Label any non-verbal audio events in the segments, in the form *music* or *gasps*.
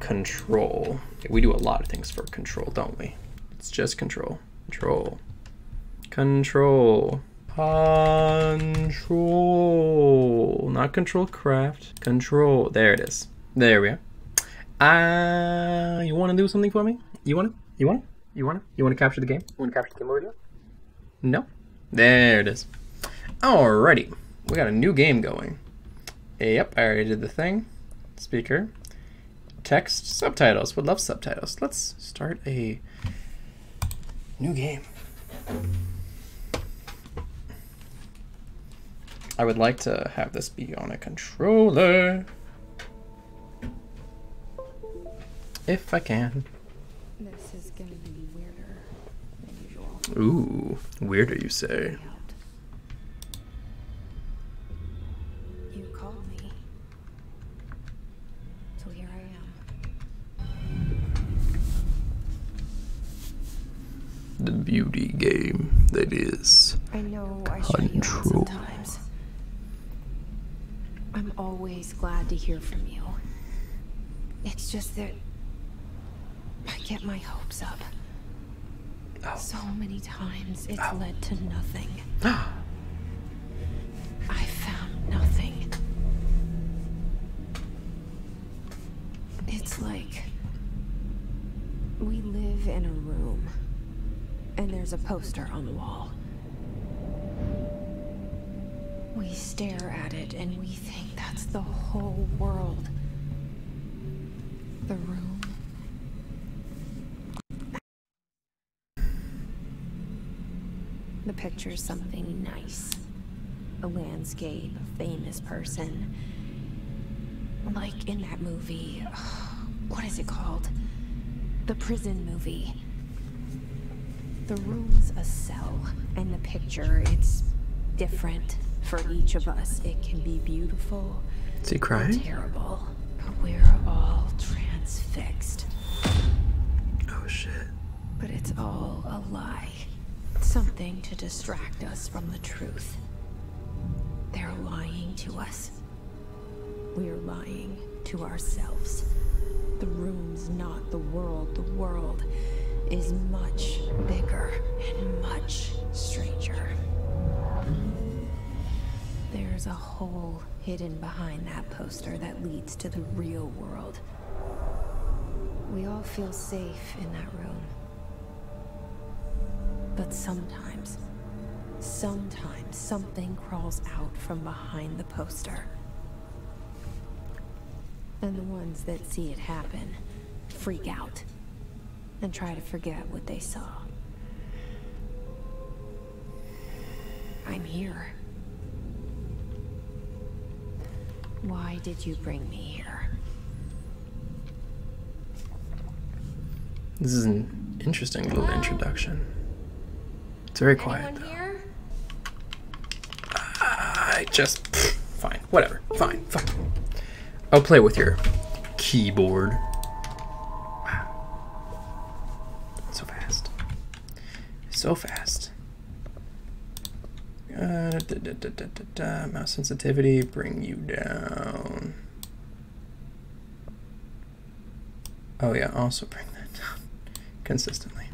control. We do a lot of things for control, don't we? It's just control, control, control, control, not control craft, control. There it is. There we are. Ah, you want to do something for me? You want to? You want to? You want to? You want to capture the game? You want to capture the game over No. There it is. Alrighty, we got a new game going. Yep, I already did the thing. Speaker. Text. Subtitles. Would love subtitles. Let's start a new game. I would like to have this be on a controller. If I can. This is gonna be weirder than usual. Ooh, weirder you say. You called me. So here I am. The beauty game that is I know I sometimes. I'm always glad to hear from you. It's just that I get my hopes up. So many times it's led to nothing. *gasps* I found nothing. It's like we live in a room and there's a poster on the wall. We stare at it and we think that's the whole world the room. The picture is something nice. A landscape, a famous person. Like in that movie, *sighs* what is it called? The prison movie. The room's a cell, and the picture, it's different for each of us. It can be beautiful. Is he crying? Terrible. But we're all transfixed. Oh shit. But it's all a lie. Something to distract us from the truth. They're lying to us. We're lying to ourselves. The room's not the world. The world is much bigger and much Stranger. There's a hole hidden behind that poster that leads to the real world. We all feel safe in that room. But sometimes, sometimes something crawls out from behind the poster. And the ones that see it happen freak out and try to forget what they saw. I'm here. Why did you bring me here? This is an interesting little introduction. It's very quiet. Though. I just. fine. Whatever. Fine. I'll play with your keyboard. Wow. So fast. So fast. Uh, Mouse sensitivity, bring you down. Oh yeah, also bring that down *laughs* consistently.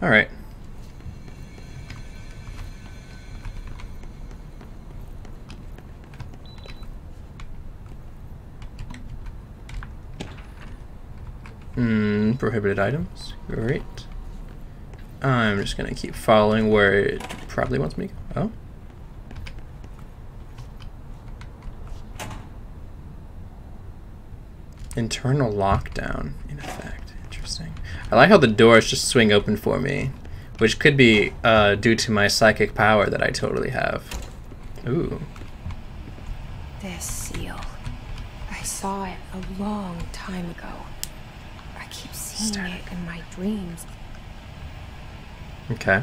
All right. Hmm, prohibited items. Great. I'm just gonna keep following where it probably wants me to go. Oh. Internal lockdown, in effect. Interesting. I like how the doors just swing open for me which could be uh, due to my psychic power that I totally have. Ooh. This seal. I saw it a long time ago. I keep seeing Start. it in my dreams. Okay.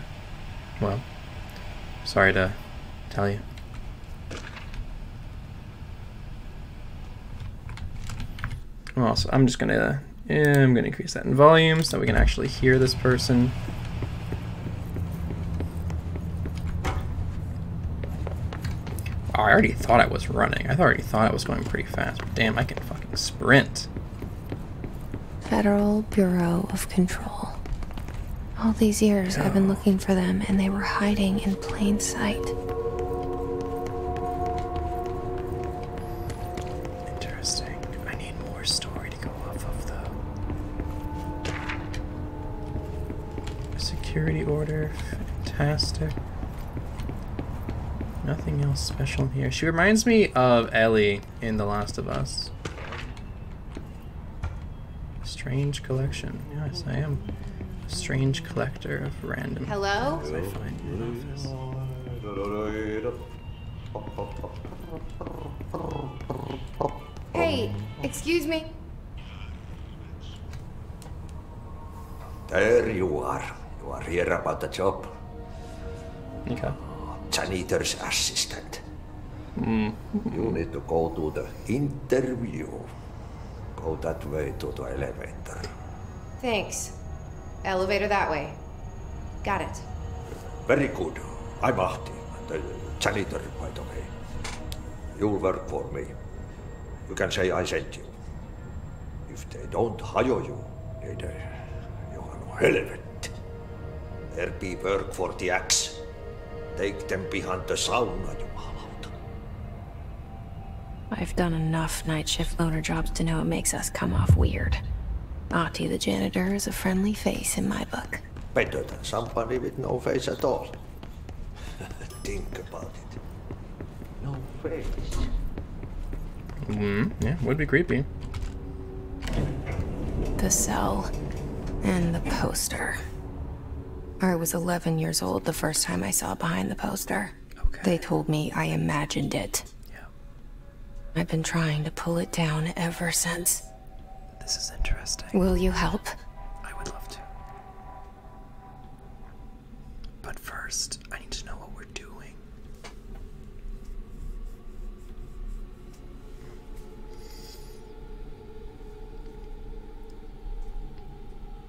Well, sorry to tell you. Well, so I'm just gonna and I'm going to increase that in volume so we can actually hear this person. Oh, I already thought I was running. I already thought I was going pretty fast. But damn, I can fucking sprint. Federal Bureau of Control. All these years, I've been oh. looking for them, and they were hiding in plain sight. Interesting. I need more story to go off of, though. Security order. Fantastic. Nothing else special here. She reminds me of Ellie in The Last of Us. Strange collection. Yes, I am. Strange collection of random Hello? I find in office. Hey, excuse me. There you are. You are here about the job. Okay. Janitor's assistant. Hmm. You need to go to the interview. Go that way to the elevator. Thanks. Elevator that way. Got it. Very good. I'm Ahti, the janitor, by the way. you work for me. You can say I sent you. If they don't hire you, uh, you are no hell of it. There be work for the axe. Take them behind the sauna, you I've done enough night shift loader jobs to know it makes us come off weird. Ahti, the janitor is a friendly face in my book. Better than somebody with no face at all. *laughs* Think about it. No face. Hmm. yeah, would be creepy. The cell and the poster. I was 11 years old the first time I saw behind the poster. Okay. They told me I imagined it. Yeah. I've been trying to pull it down ever since. This is interesting. Will you help? I would love to. But first, I need to know what we're doing.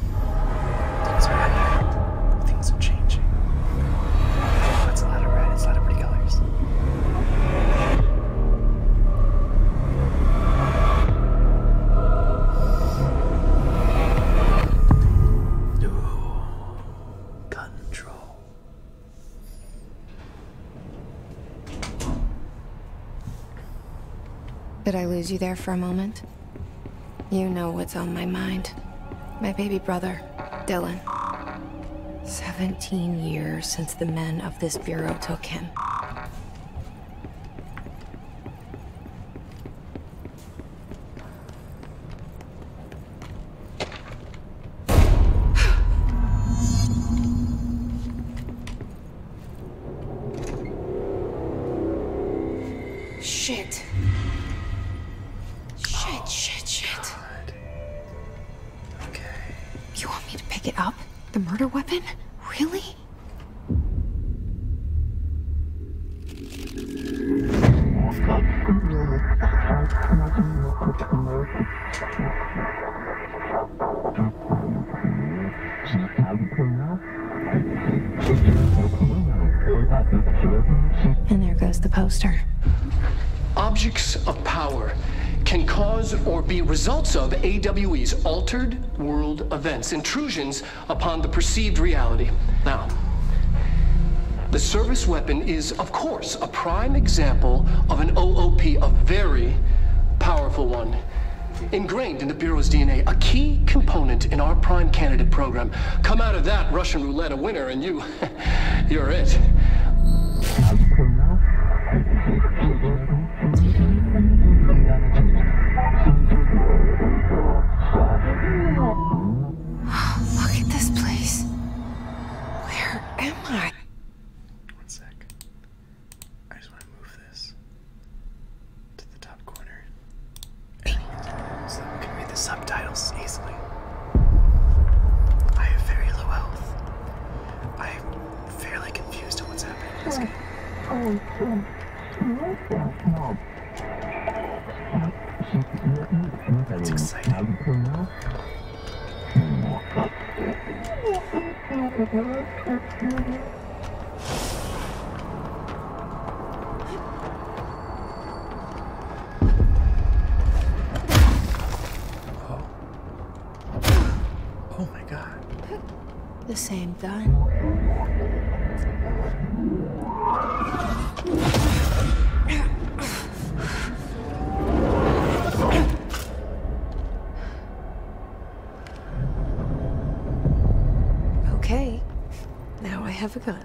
Things are happening. Things are changing. Oh, it's a lot of red. It's a lot of pretty colors. control. Did I lose you there for a moment? You know what's on my mind. My baby brother, Dylan. 17 years since the men of this bureau took him. *sighs* Shit. Shit. Shit, shit, Okay. You want me to pick it up? The murder weapon? Really? And there goes the poster. Objects of power can cause or be results of AWE's altered world events, intrusions upon the perceived reality. Now, the service weapon is, of course, a prime example of an OOP, a very powerful one. Ingrained in the Bureau's DNA, a key component in our prime candidate program. Come out of that Russian Russian led a winner, and you, *laughs* you're it. Look at this place. Where am I? One sec. I just want to move this to the top corner so that we can read the subtitles easily. I have very low health. I am fairly confused on what's happening in this game. It's exciting. Oh. Oh my god. The same gun. Okay, now I have a gun.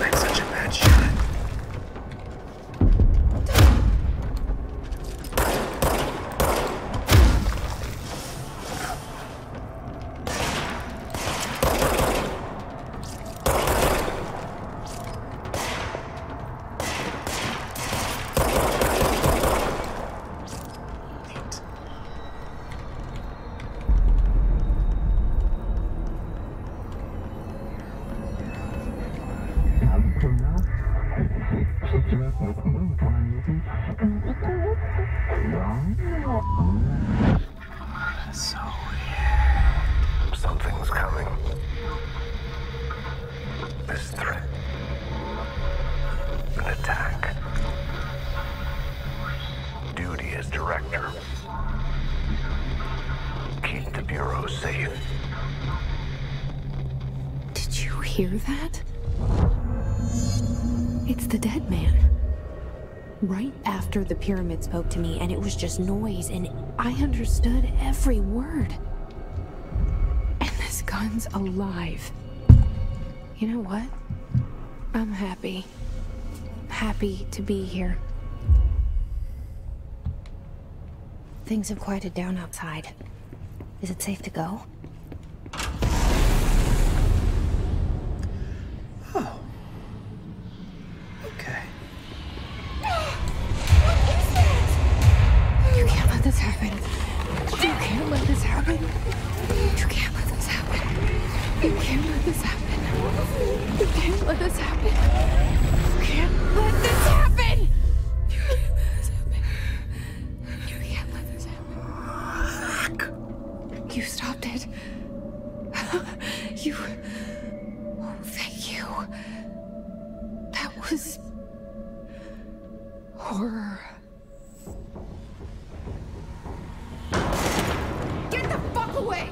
That's such a bad shot complete. So weird. Something's coming. This threat. An attack duty as director. Keep the Bureau safe. Did you hear that? It's the dead man. Right after the pyramid spoke to me, and it was just noise, and I understood every word. And this gun's alive. You know what? I'm happy. Happy to be here. Things have quieted down outside. Is it safe to go? Oh. Okay. What is that? You can't let this happen. You can't let this happen. You can't let this happen. You can't let this happen. You can't let this happen. You can't let this happen. You can't let this happen. Fuck. You stopped it. *laughs* you. Oh, thank you. That was. horror. Get the fuck away!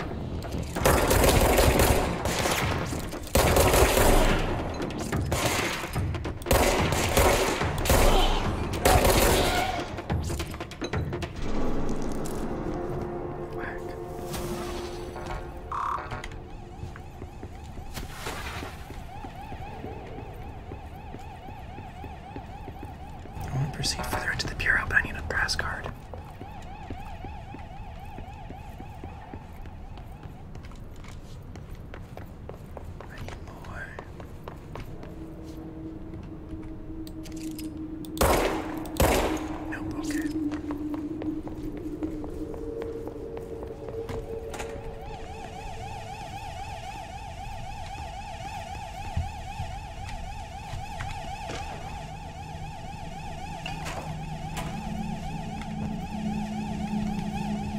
I won't proceed further into the bureau, but I need a brass card. I need more. Nope, okay.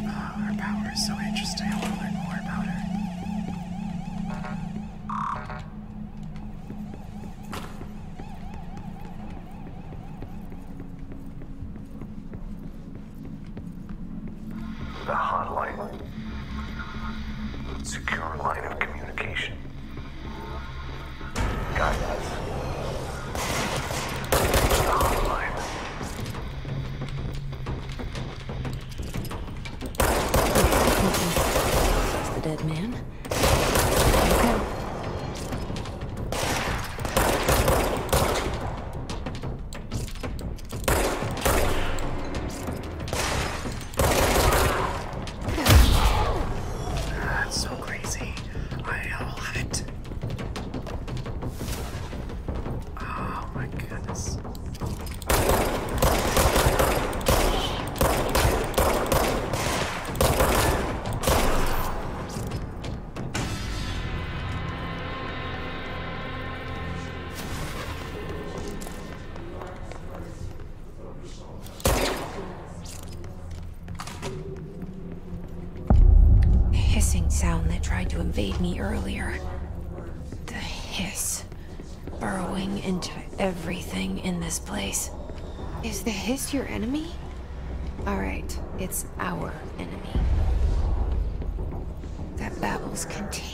Oh, her power is so interesting. I want to learn more about her. The hotline. Secure line of communication. Guide us. The hotline. That's the dead man. Okay. That's so crazy. I love it. Oh my goodness. The hissing sound that tried to invade me earlier. The hiss. Burrowing into everything in this place. Is the hiss your enemy? Alright, it's our enemy. That babble's continuing.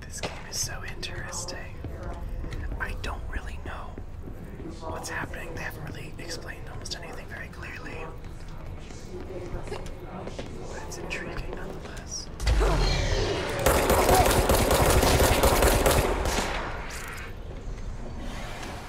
This game is so interesting. I don't really know what's happening. They haven't really explained almost anything very clearly. But it's intriguing nonetheless.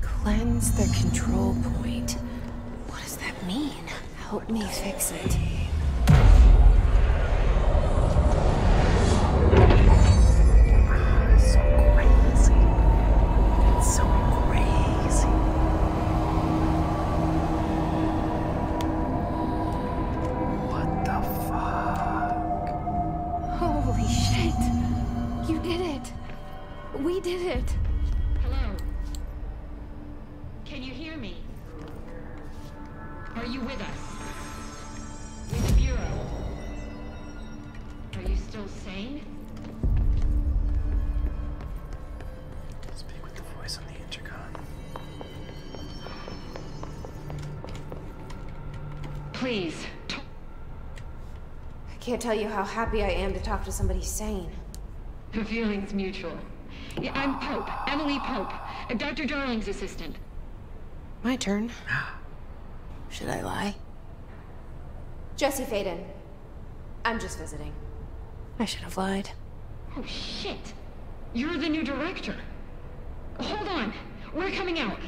Cleanse the control point. What does that mean? Help me fix it. Holy shit! You did it! We did it. Hello. Can you hear me? Are you with us? With the Bureau? Are you still sane? Speak with the voice on the intercom. Please, I can't tell you how happy I am to talk to somebody sane. The feeling's mutual. I'm Pope, Emily Pope, Dr. Darling's assistant. My turn. *gasps* Should I lie? Jesse Faden. I'm just visiting. I should have lied. Oh, shit. You're the new director. Hold on. We're coming out.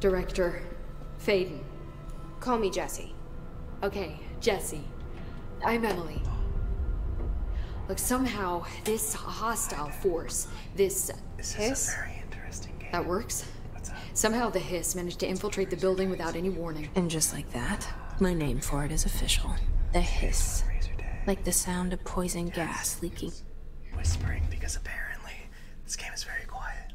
Director Faden. Call me Jesse. Okay, Jesse. I'm Emily. Look, somehow, this hostile force, this, hiss... That works? Somehow the hiss to infiltrate the building without any warning. And just like that, my name for it is official. The hiss. Like the sound of poison gas leaking. Whispering, because apparently this game is very quiet.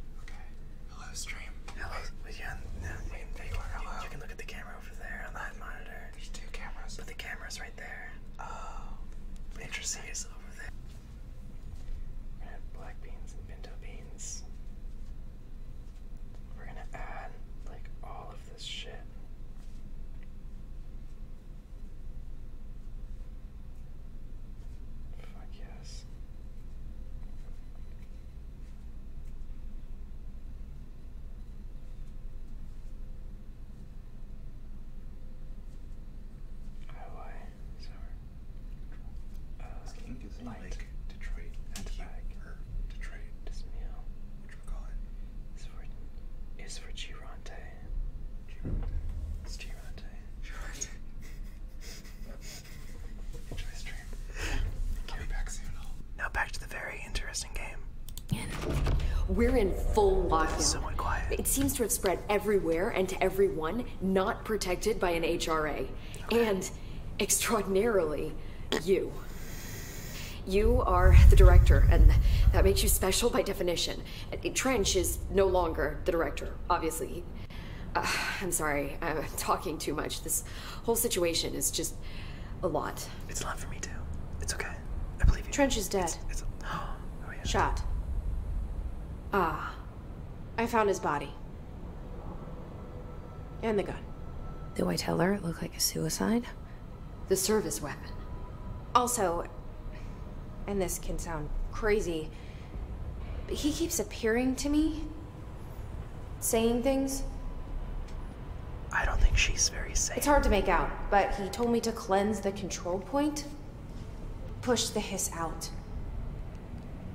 Hello, stream. Hello. Wait, you Hello. You, can look at the camera over there on that monitor. There's two cameras. But the camera's right there. Oh. Interesting. Is over there. We black beans and pinto beans. We're gonna add like all of this shit. Fuck yes. Oh, I sorry. Detroit and Flag, or Detroit Dismail, which we call it, is for, is for Girante. Girante. It's *laughs* Now back to the very interesting game. We're in full lockdown. Somewhat quiet. It seems to have spread everywhere and to everyone, not protected by an HRA. And extraordinarily, you. You are the director, and that makes you special by definition. Trench is no longer the director, obviously. Uh, I'm sorry, I'm talking too much. This whole situation is just a lot. It's a lot for me, too. It's okay. I believe you. Trench is dead. It's, *gasps* oh, Shot. Ah. I found his body. And the gun. Do I tell her it looked like a suicide? The service weapon. Also, and this can sound crazy, but he keeps appearing to me, saying things. I don't think she's very safe. It's hard to make out, but he told me to cleanse the control point, push the hiss out.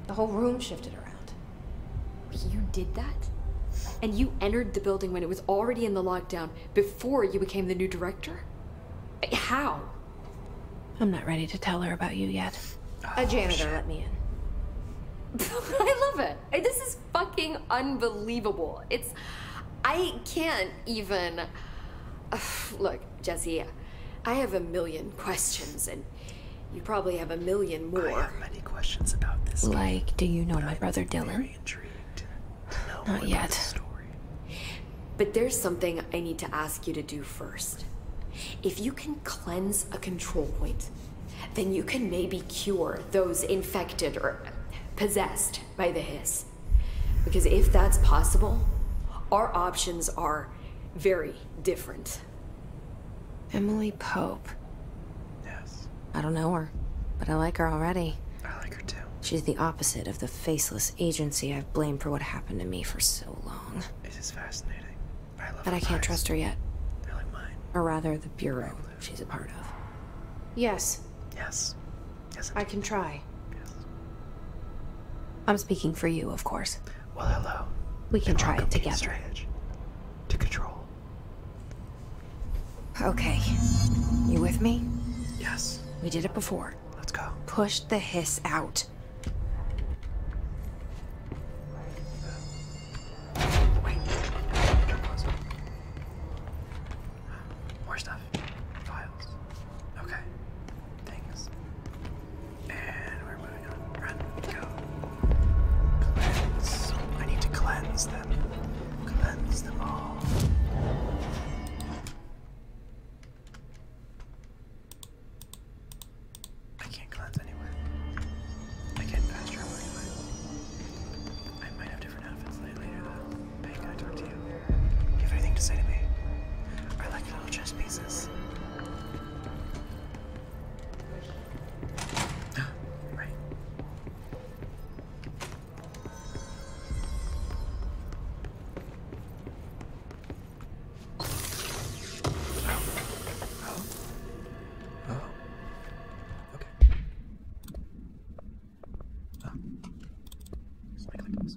The whole room shifted around. You did that? And you entered the building when it was already in the lockdown before you became the new director? How? I'm not ready to tell her about you yet. a janitor let me in. *laughs* I love it. This is fucking unbelievable. It's. I can't even. *sighs* look, Jesse, I have a million questions and you probably have a million more. questions about this. Like, do you know my brother Dylan? intrigued Not yet. But there's something I need to ask you to do first. If you can cleanse a control point, then you can maybe cure those infected or possessed by the hiss. Because if that's possible, our options are very different. Emily Pope. Yes. I don't know her, but I like her already. I like her too. She's the opposite of the faceless agency I've blamed for what happened to me for so long. This is fascinating. But I can't trust her yet. I mine. Or rather, the bureau she's a part of. Yes. Yes. Yes. I, I can try. Yes. I'm speaking for you, of course. Well, hello. We can try it together. To control Okay. You with me? Yes. We did it before. Let's go. Push the hiss out. More stuff. Files. Okay. Things. And where was I need to cleanse them. Cleanse them all. I can't cleanse anywhere. I can't fast travel anywhere. I might have different outfits later Hey, I talk to you? You have anything to say to me? I like your little chess pieces right. Oh. Oh. Oh. oh. Okay. Oh. Slightly close.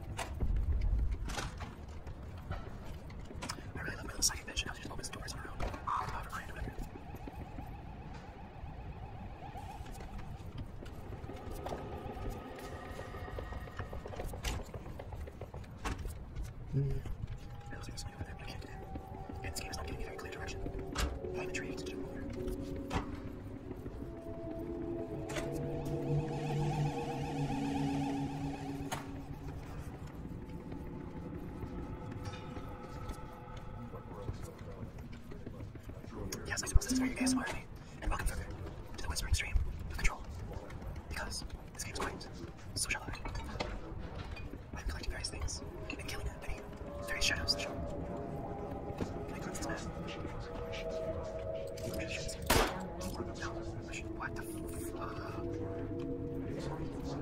Mm. I really love my little psychic bitch. Now she just opens the doors on her own. Ah, never mind, whatever. I was going to sneak with him, but game is not giving me very clear direction. I'm intrigued to do more. Yes, I suppose this is very ASMR me, and welcome further to the whispering stream control. Because this game is quite social hard. i have collected various things and killing many various shadows that show. Can I cleanse this what the fuck?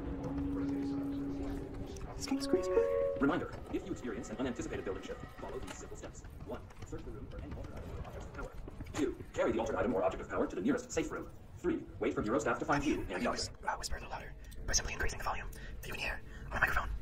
This game's crazy, man. Reminder, if you experience an unanticipated building shift, follow these simple steps. 1. Search the room for any altered item or object of power. 2. Carry the altered item or object of power to the nearest safe room. 3. Wait for bureau staff to find you and the others. Uh, whisper a little louder by simply increasing the volume that you can hear on a microphone.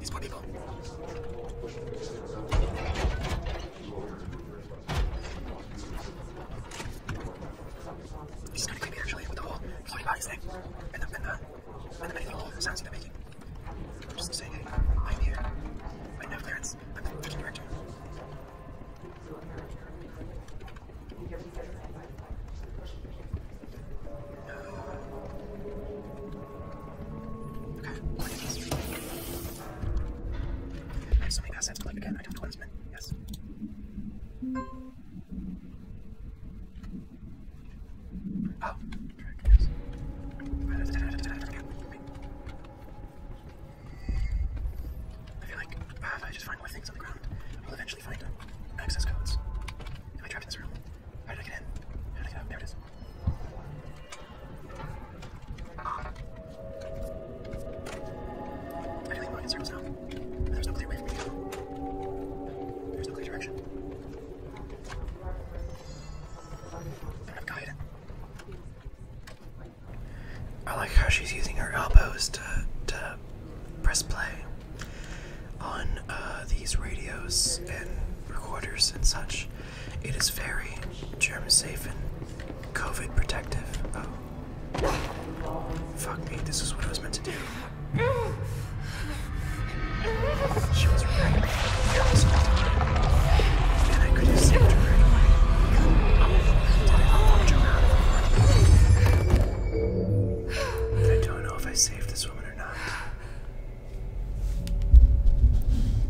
Disponible. This is kind of creepy actually with the whole floating bodies thing and the, and the, and the many little sounds they're making. I'm just saying, hey, I'm here. I have clearance. I'm the freaking director. Okay. So many assets to again. I don't cleansman. Yes. Oh, trick, yes. I feel like uh, if I just find more things on the ground, I'll eventually find uh, access codes. If I trapped in this room, how did I get in? How did I get out? There it is. I really am in circles now. there's no clear way for me to go. There's no clear direction. I don't I like how she's using her elbows to to press play on uh, these radios and recorders and such. It is very germ safe and COVID protective. Oh. Fuck me, this is what I was meant to do. She was right. I could have saved her I don't know if I saved this woman.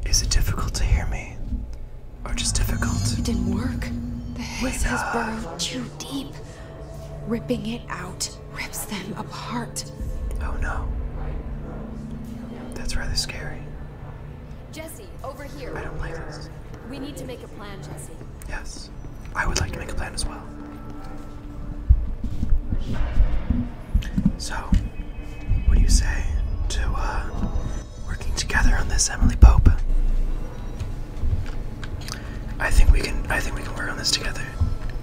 Is it difficult to hear me? Or just difficult? It didn't work. The hiss has burrowed too deep. Ripping it out rips them apart. Oh no. That's rather scary. Jesse, over here. I don't like this. We need to make a plan, Jesse. Yes. I would like to make a plan as well. So, what do you say to uh, working together on this, Emily Pope? I think we can. I think we can work on this together.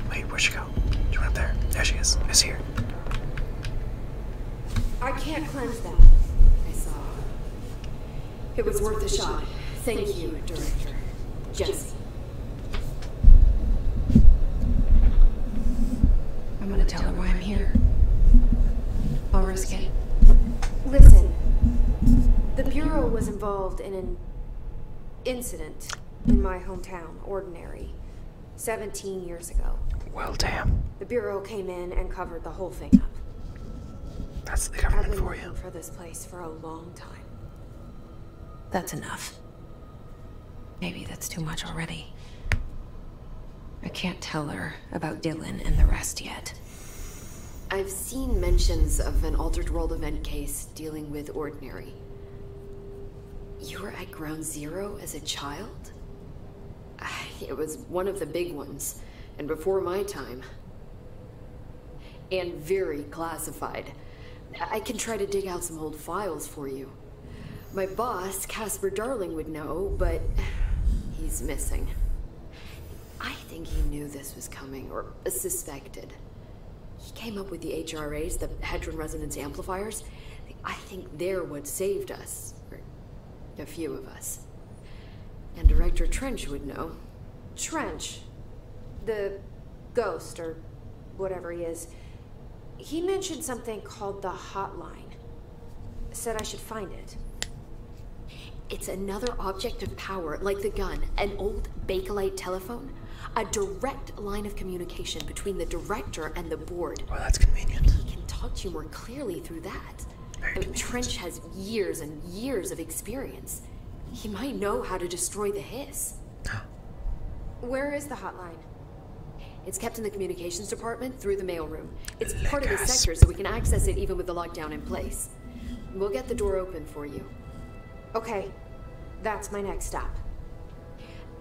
Wait, where'd she go? She went up there. There she is. I here. I can't cleanse them. I saw. It was worth a shot. Thank you, Director Jesse. I'm gonna tell her why I'm here. I'll risk it. Listen. The Bureau was involved in an incident in my hometown, Ordinary, 17 years ago. Well, damn. The Bureau came in and covered the whole thing up. That's the government I've been for for this place for a long time. That's enough. Maybe that's too much already. I can't tell her about Dylan and the rest yet. I've seen mentions of an Altered World event case dealing with Ordinary. You were at Ground Zero as a child? *sighs* It was one of the big ones, and before my time. And very classified. I can try to dig out some old files for you. My boss, Casper Darling, would know, but he's missing. I think he knew this was coming, or suspected. He came up with the HRAs, the Hedron Resonance Amplifiers. I think they're what saved us, or a few of us. And Director Trench would know. Trench, the ghost or whatever he is, he mentioned something called the hotline. Said I should find it. It's another object of power, like the gun, an old Bakelite telephone, a direct line of communication between the director and the board. Well, oh, that's convenient. He can talk to you more clearly through that. Trench has years and years of experience. He might know how to destroy the hiss. *gasps* Where is the hotline? It's kept in the communications department through the mailroom. It's part of the sector, so we can access it even with the lockdown in place. We'll get the door open for you. Okay, that's my next stop.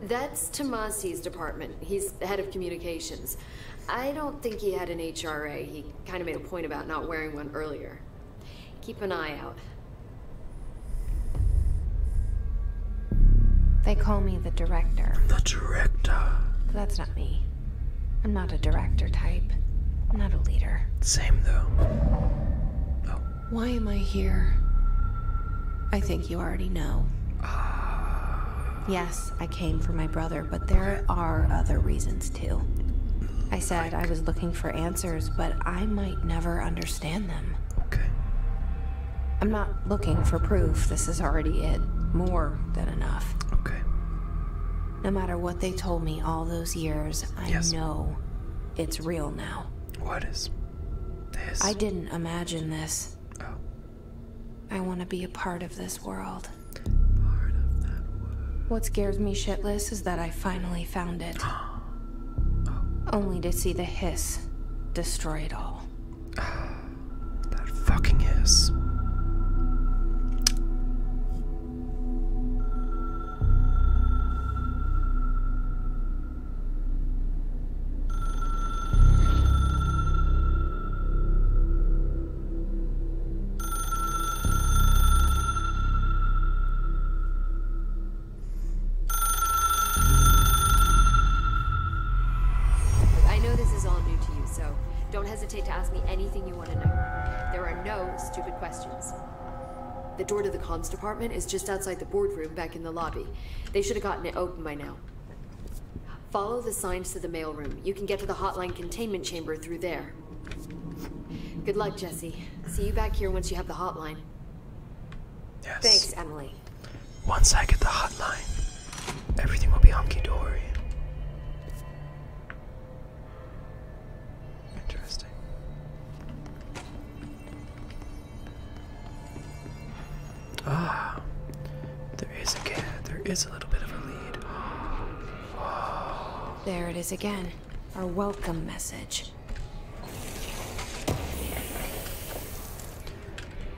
That's Tomasi's department. He's the head of communications. I don't think he had an HRA. He kind of made a point about not wearing one earlier. Keep an eye out. They call me the director. The director. that's not me. I'm not a director type. I'm not a leader. Same though. Oh. Why am I here? I think you already know. Uh... Yes, I came for my brother, but there are other reasons too. I said I was looking for answers, but I might never understand understand them. Okay. I'm not looking for proof. This is already it. More than enough. Okay. No matter what they told me all those years, I know it's real now. What is this? I didn't imagine this. Oh. I want to be a part of this world. Part of that world. What scares me shitless is that I finally found it. *gasps* *gasps* *gasps* Only to see the hiss destroy it all. *sighs* that fucking hiss. I know this is all new to you, so don't hesitate to ask me anything you want to know. There are no stupid questions. The door to the cons department is just outside the boardroom back in the lobby. They should have gotten it open by now. Follow the signs to the mailroom. You can get to the hotline containment chamber through there. Good luck, Jesse. See you back here once you have the hotline. Thanks, Emily. Once I get the hotline, everything will be hunky dory. Interesting. Ah, there is a there is a little bit of a lead. *gasps* There it is again. Our welcome message.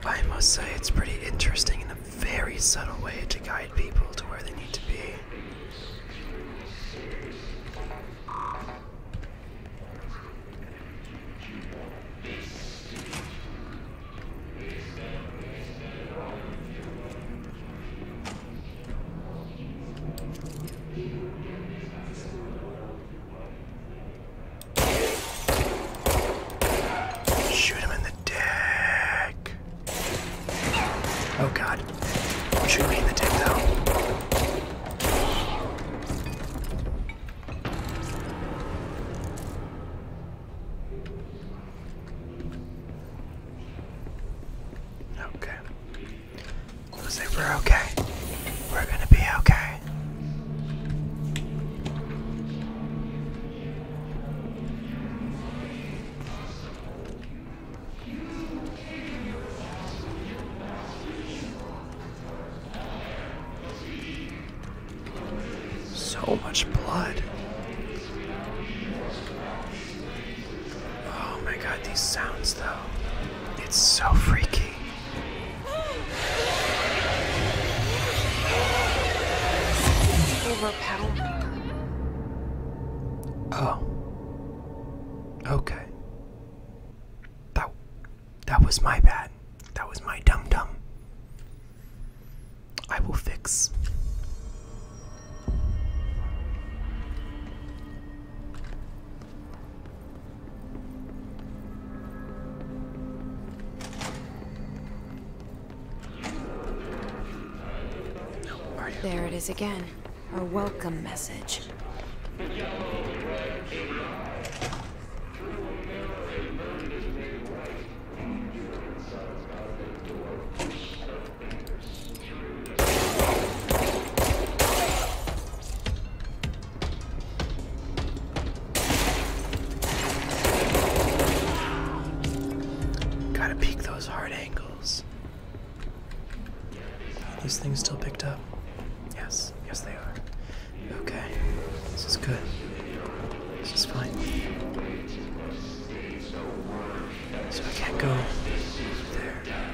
I must say, it's pretty interesting in a very subtle way to guide people to where they need to be. Shoot him in the dick. Oh god. Shoot me in the dick though. Okay. Say we're okay. We're gonna be okay. So much blood. Oh my god, these sounds though. It's so freaky. Overpower. Oh. Okay. That that was my bad. That was my dum dum. I will fix. There it is again. a welcome message. Gotta peek those hard angles. these things still picked up? Yes, yes, they are. Okay, this is good. This is fine. So I can't go there.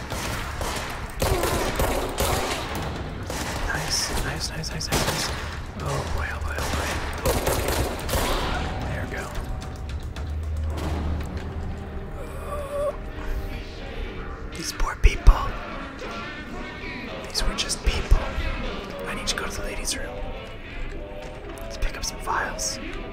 Nice, nice, nice, nice, nice, nice. Oh boy, oh boy, oh boy. There go. These poor people. These were just people. I need to go to the ladies' room. Let's pick up some files.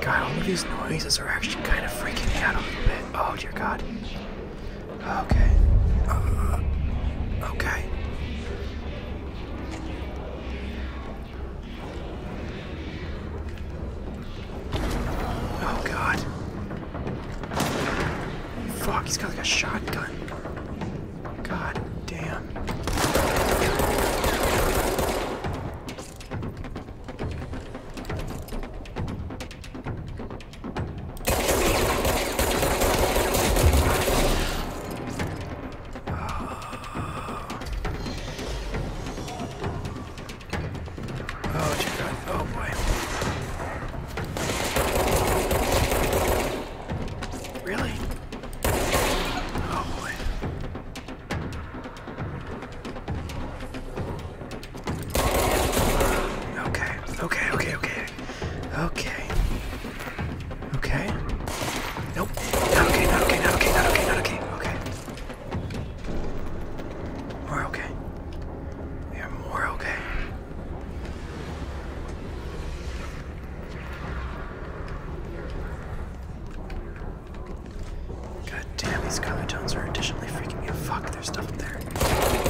God, all of these noises are actually kind of freaking me out a little bit. Oh dear God. Okay. Uh, okay. Oh God. Fuck, he's got like a shotgun. God. Damn. Oh, dear God. Oh, boy. Really? Oh, boy. Okay, okay, okay, okay. Okay. Okay. Nope. Not okay, not okay, not okay, not okay, not okay. Okay. More okay. We are more okay. God damn, these comatones are additionally freaking me out. Fuck, there's stuff up there. *laughs*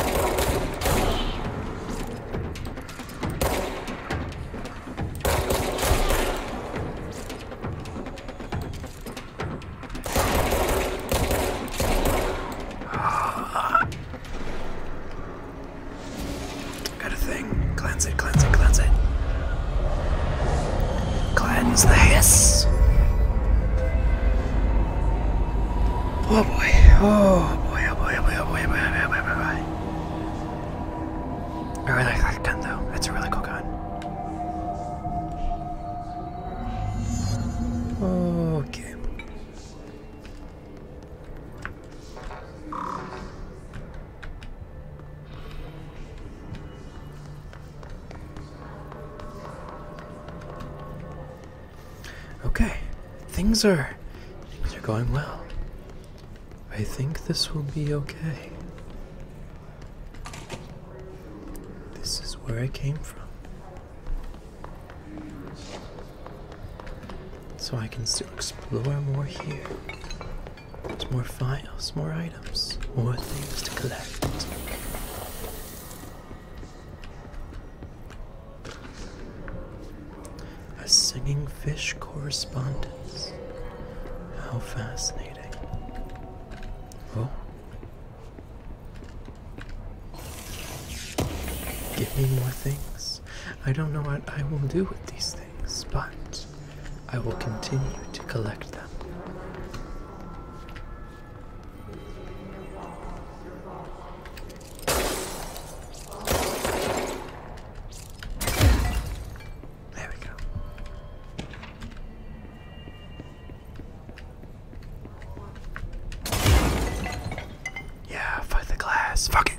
Got a thing. Cleanse it, cleanse it, cleanse it. Cleanse the hiss. Oh boy. Oh boy, oh boy, oh boy, oh boy, oh boy, oh boy, oh boy, oh boy. Oh, I really like that gun though. It's a really cool gun. Okay. Okay, things are things are going well. I think this will be okay. This is where I came from. So I can still explore more here. There's more files, more items, more things to collect. A singing fish correspondence. How fascinating. Oh. Give me more things. I don't know what I will do with these things, but I will continue to collect them. There we go. Yeah, fight the glass. Fuck it.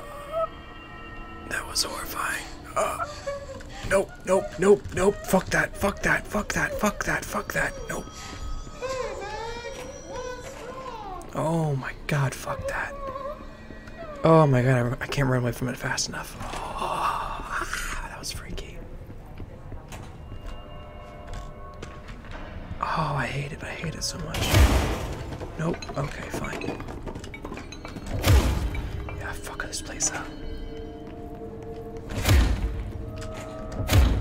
That was horrifying. Uh, ah. no, no, no, nope. Fuck that, fuck that, fuck that, fuck that, fuck that. Nope. Oh my god, fuck that. Oh my god, I, I can't run away from it fast enough. Oh, that was freaky. Oh, I hate it. I hate it so much. Nope. Okay, fine. Yeah, fuck this place up. *sighs*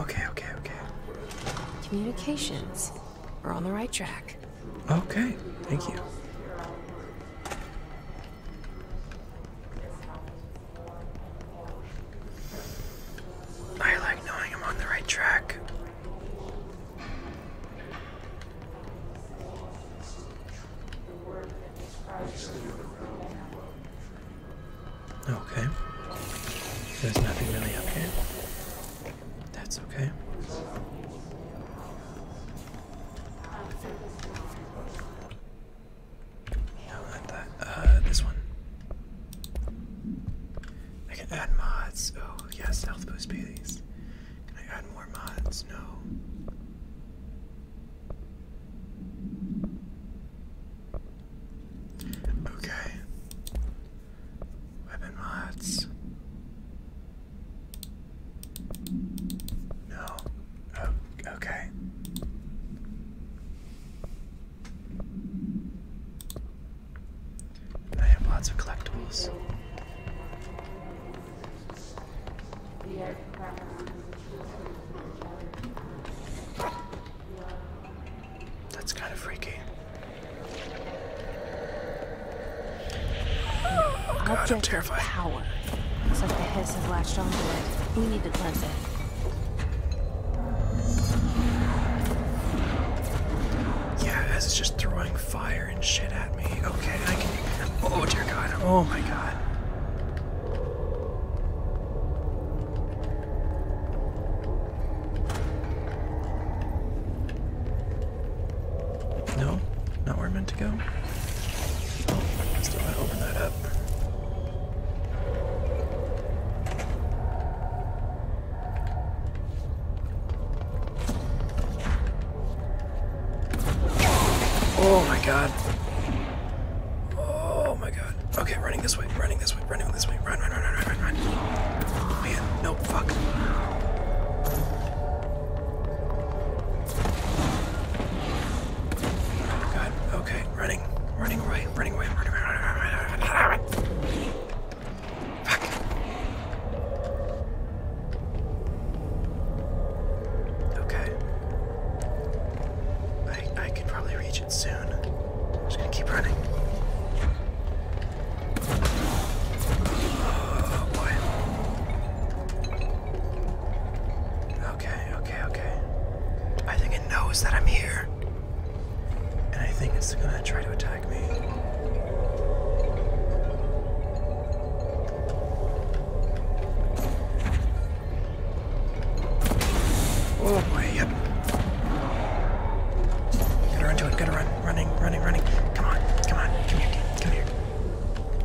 Okay, okay, okay. Communications. We're on the right track. Okay, thank you. I like knowing I'm on the right track. Okay. There's nothing really up here. That's okay. No, that. Uh, this one. I can add mods. Oh, yes, health boost Baileys. Can I add more mods? No. Okay. Weapon mods. No. Oh, okay. I have lots of collectibles. That's kind of freaky. Oh, God, Object I'm terrified. Power. Looks like the hiss has latched onto it. We need to cleanse it. Yeah, as it's just throwing fire and shit at me. Okay, I can. Oh dear God. Oh my God. No, not where I meant to go. Oh, still gotta open that up. Oh my god. Oh my god. Okay, running this way, running this way, running this way. Run, run, run, run, run, run. Man, no, fuck. God, okay, running, running away, running away, running away. Okay. I I can probably reach it soon. I'm just gonna keep running. Oh boy. Okay, okay, okay. I think it knows that I'm here. And I think it's gonna try to attack me. Oh boy, yep. Gotta run to it, gotta run. Running, running, running. Come on, come on, come here, come here.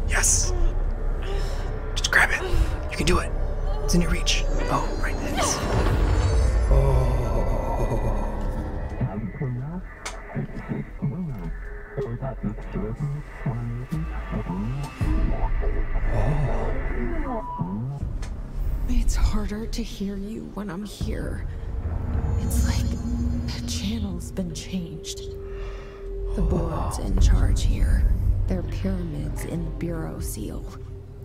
Yes. Just grab it. You can do it. It's in your reach. Oh, right. there. Oh. It's harder to hear you when I'm here. It's like the channel's been changed changed. The boards in charge here, their pyramids and bureau seal.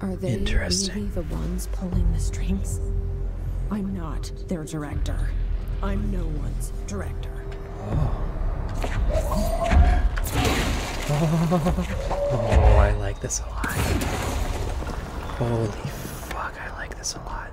Are they really the ones pulling the strings? I'm not their director. I'm no one's director. Oh. oh, I like this a lot. Holy fuck, I like this a lot.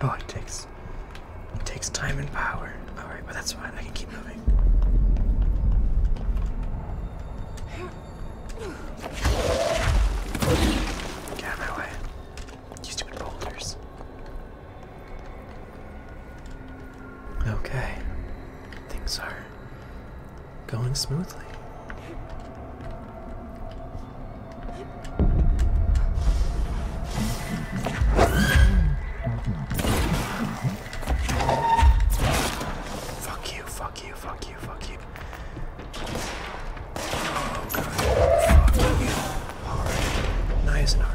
Oh, it takes it takes time and power. All right, but that's fine. I can keep moving. Get out of my way, you stupid boulders. Okay, things are going smoothly. Fuck you, fuck you, fuck you, fuck you. Oh god, fuck you. Hard. Nice and hard.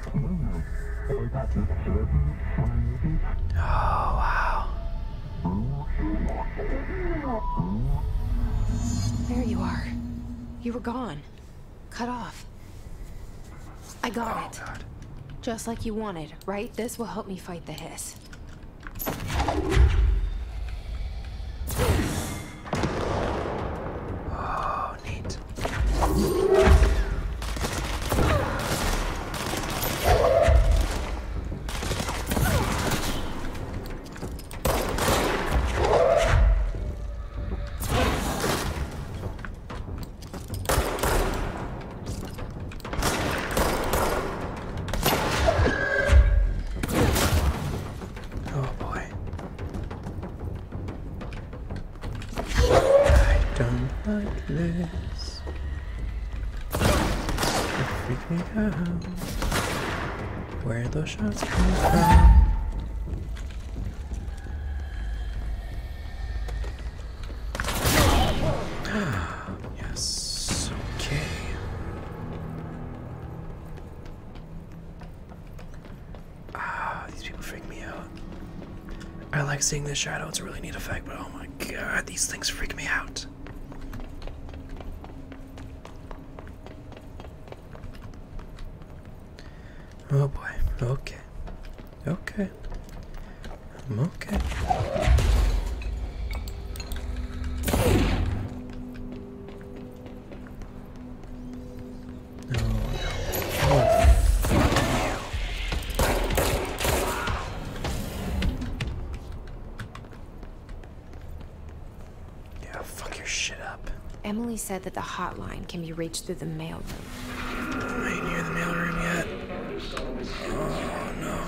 Oh, wow. There you are. You were gone. Cut off. I got oh, it. Just like you wanted, right? This will help me fight the hiss. Oh, Oh, neat. Oh boy. I don't like this. It freaked me out. Where those shots coming from? Ah, yes. Okay. Ah, these people freak me out. I like seeing the shadow, it's a really neat effect, but oh my god, these things freak me out. Oh boy, okay. Okay. I'm okay. Yeah, fuck your shit up. Emily said that the hotline can be reached through the mailroom. I ain't near the mailroom yet. Oh no.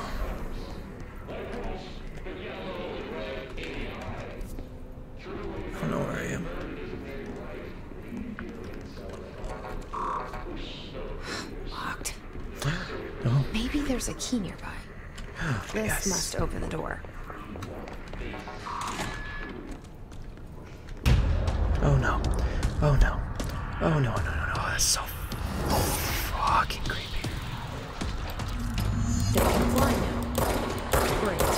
I don't know where I am. Locked. *gasps* No. Maybe there's a key nearby. *gasps* this yes. must open the door. Oh no. Oh no. Oh no, no, no, no. Oh, that's so fucking creepy. There's one now. Great.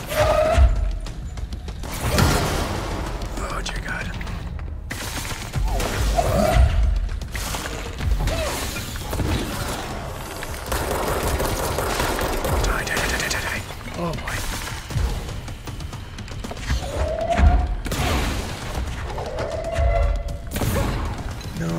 Oh, dear God. Die, die, die, die, die, Oh, boy. No.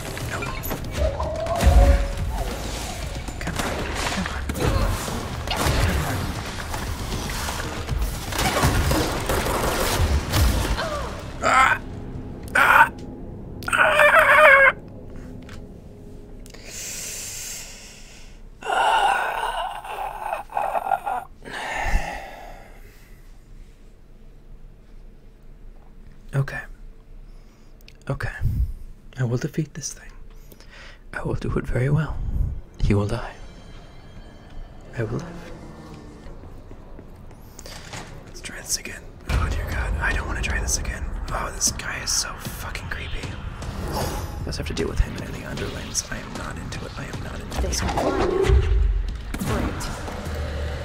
Nope. Come on. Come on. Come on. Ah! Ah! Ah! Okay. Okay. I will defeat this thing. I will do it very well. He will die. I will live. Let's try this again. Oh dear god, I don't want to try this again. Oh, this guy is so fucking creepy. I just have to deal with him in the underlings. I am not into it. I am not into this.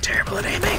terrible at aiming.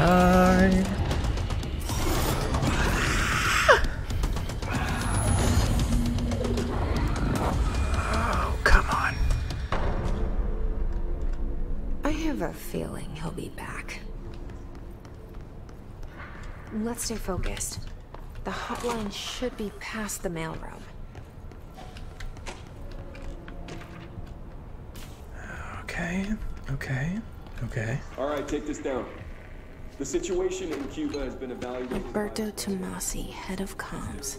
Ah. Oh, come on. I have a feeling he'll be back. Let's stay focused. The hotline should be past the mailroom. Okay, okay, okay. All right, take this down. The situation in Cuba has been evaluated. Alberto Tomasi, head of comms.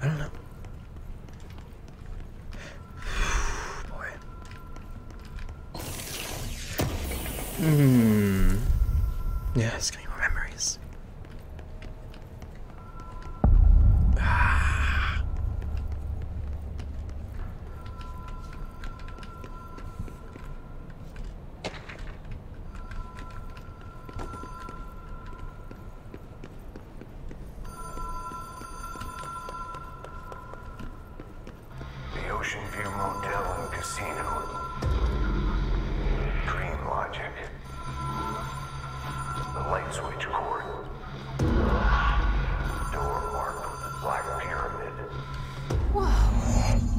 I don't know. Boy. Hmm. Yeah, it's gonna be more memories. Ah. The Ocean View Motel and Casino. Dream logic. The light switch cord. Door marked with a black pyramid. Whoa.